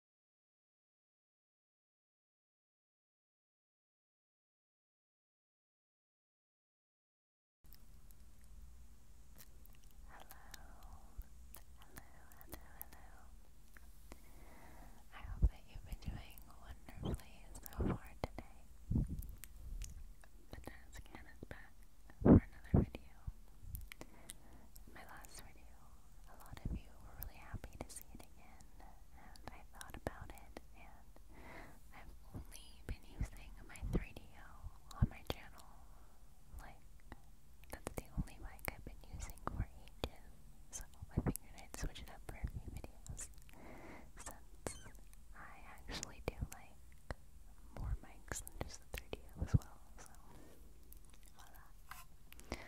hello, hello. I hope that you've been doing wonderfully so far today. The Nurse Can back for another video. My last video a lot of you were really happy to see it again, and I thought about it, and I've only been using my 3DO on my channel, like, that's the only mic I've been using for ages, so I figured I'd switch it up for a few videos, since I actually do like more mics than just the 3DO as well, so voila.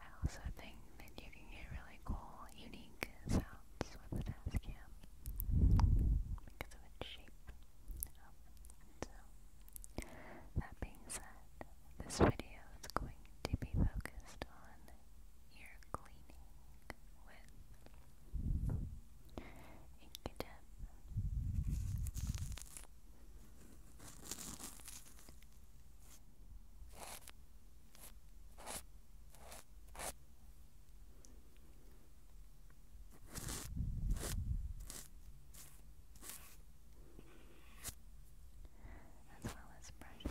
I also think that you can get really cool, unique sounds with the Tascam because of its shape. so, that being said, this video is going to be focused on ear cleaning with Inkadip as well as brushing. We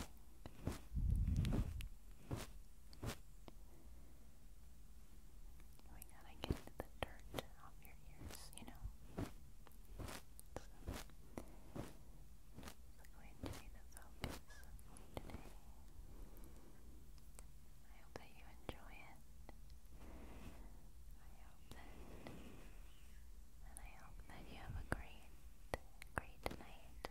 gotta get the dirt on off your ears, you know. So, I hope that you enjoy it. I hope that, and I hope that you have a great, great night.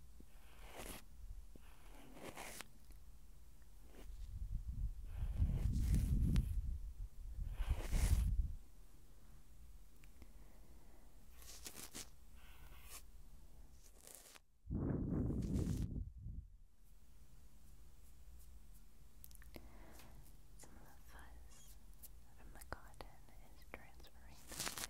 Some of the fuzz from the cotton is transferring to the lake.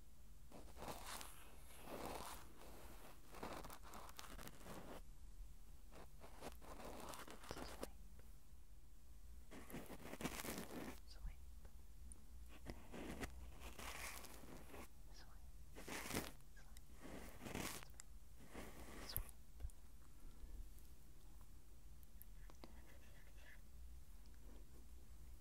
Sweep. Swipe. Is anyone else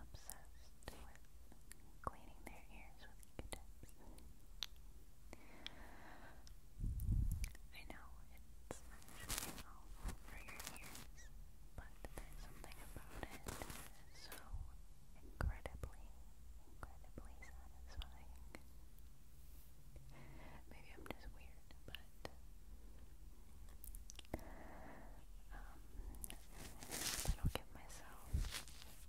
obsessed with cleaning their ears with Q-tips? I know it's actually awful for your ears but there's something about it so incredibly, incredibly satisfying. Maybe I'm just weird, but um, that'll give myself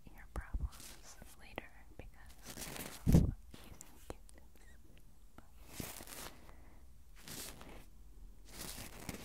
ear problems later because I using kittens.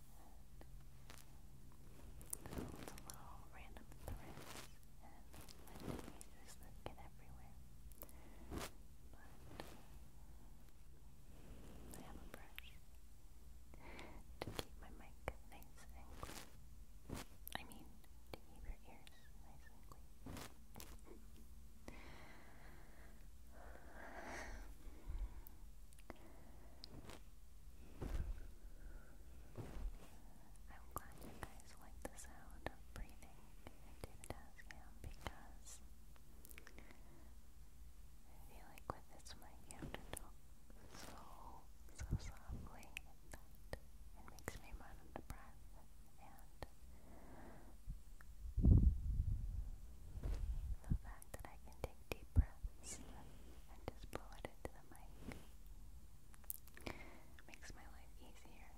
holds a little random threads and random pieces get everywhere. But I have a brush to keep my mic nice and clean. I mean, to keep your ears nice and clean. I'm glad you guys like the sound of breathing into the um, because I feel like with this mic so, so softly that it makes me run out of breath and the fact that I can take deep breaths and just blow it into the mic. makes my life easier.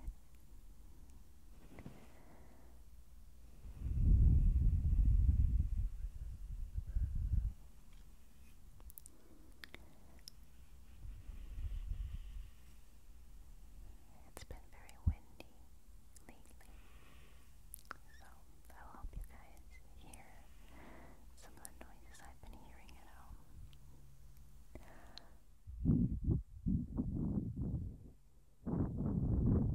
It's been very windy lately. So I'll help you guys hear some of the noises I've been hearing at home.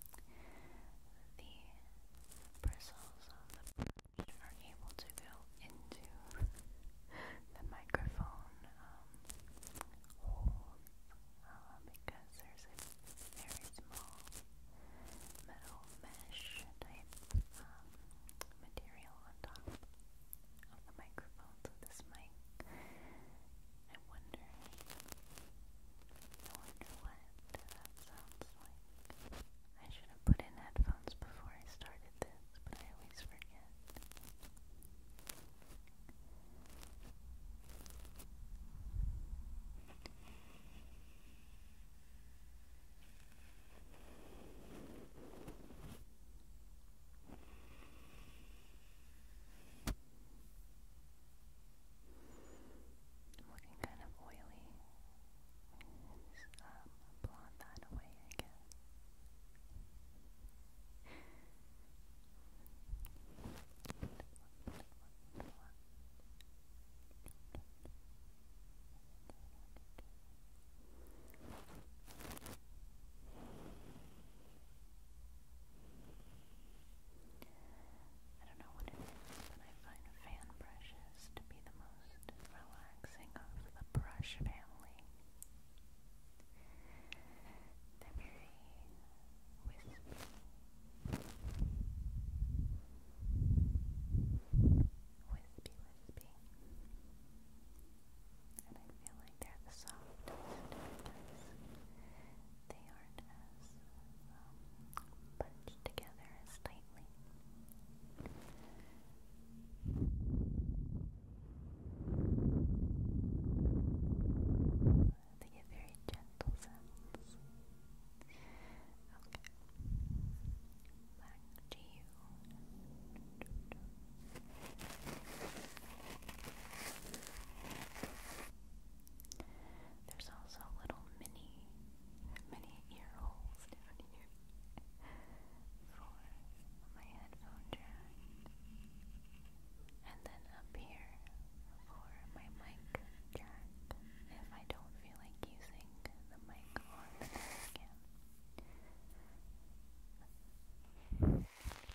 the bristles are able to go into the microphone um, hole uh, because there's a very small metal mesh type um, material on top of the microphone. So this mic, I'm wondering, I wonder what that sounds like. I should have put in headphones before I started this, but I always forget. I'm looking kind of oily. Just, um, blonde that away, I I don't know what it is, but I find fan brushes to be the most relaxing of the brush family. They're very wispy. Wispy, wispy. And I feel like they're the they aren't as bunched together as tightly. They get very gentle sounds. Okay. Back to you. There's also little mini, mini ear holes down here for my headphone jack, and then up here for my mic jack if I don't feel like using the mic on the again.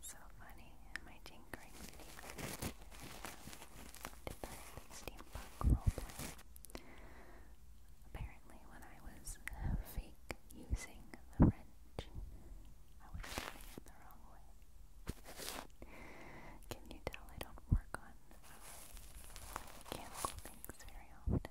So funny, am I tinkering Did that steampunk roleplay. Apparently, when I was fake using the wrench, I was doing it the wrong way. Can you tell I don't work on uh, mechanical things very often?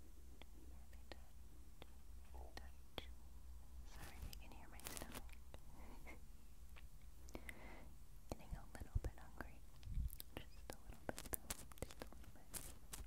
touch. Sorry you can hear my Getting a little bit hungry. Just a little bit Just A little bit.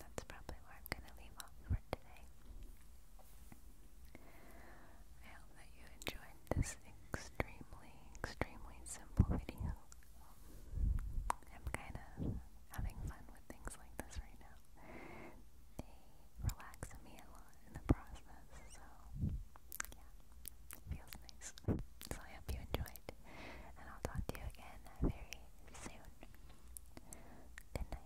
that's probably where I'm going to leave off for today. I hope that you enjoyed this extremely, extremely simple video. I'm kind of having fun with things like this right now. They relax me a lot in the process, so yeah, feels nice. So I hope you enjoyed, and I'll talk to you again very soon. Good night.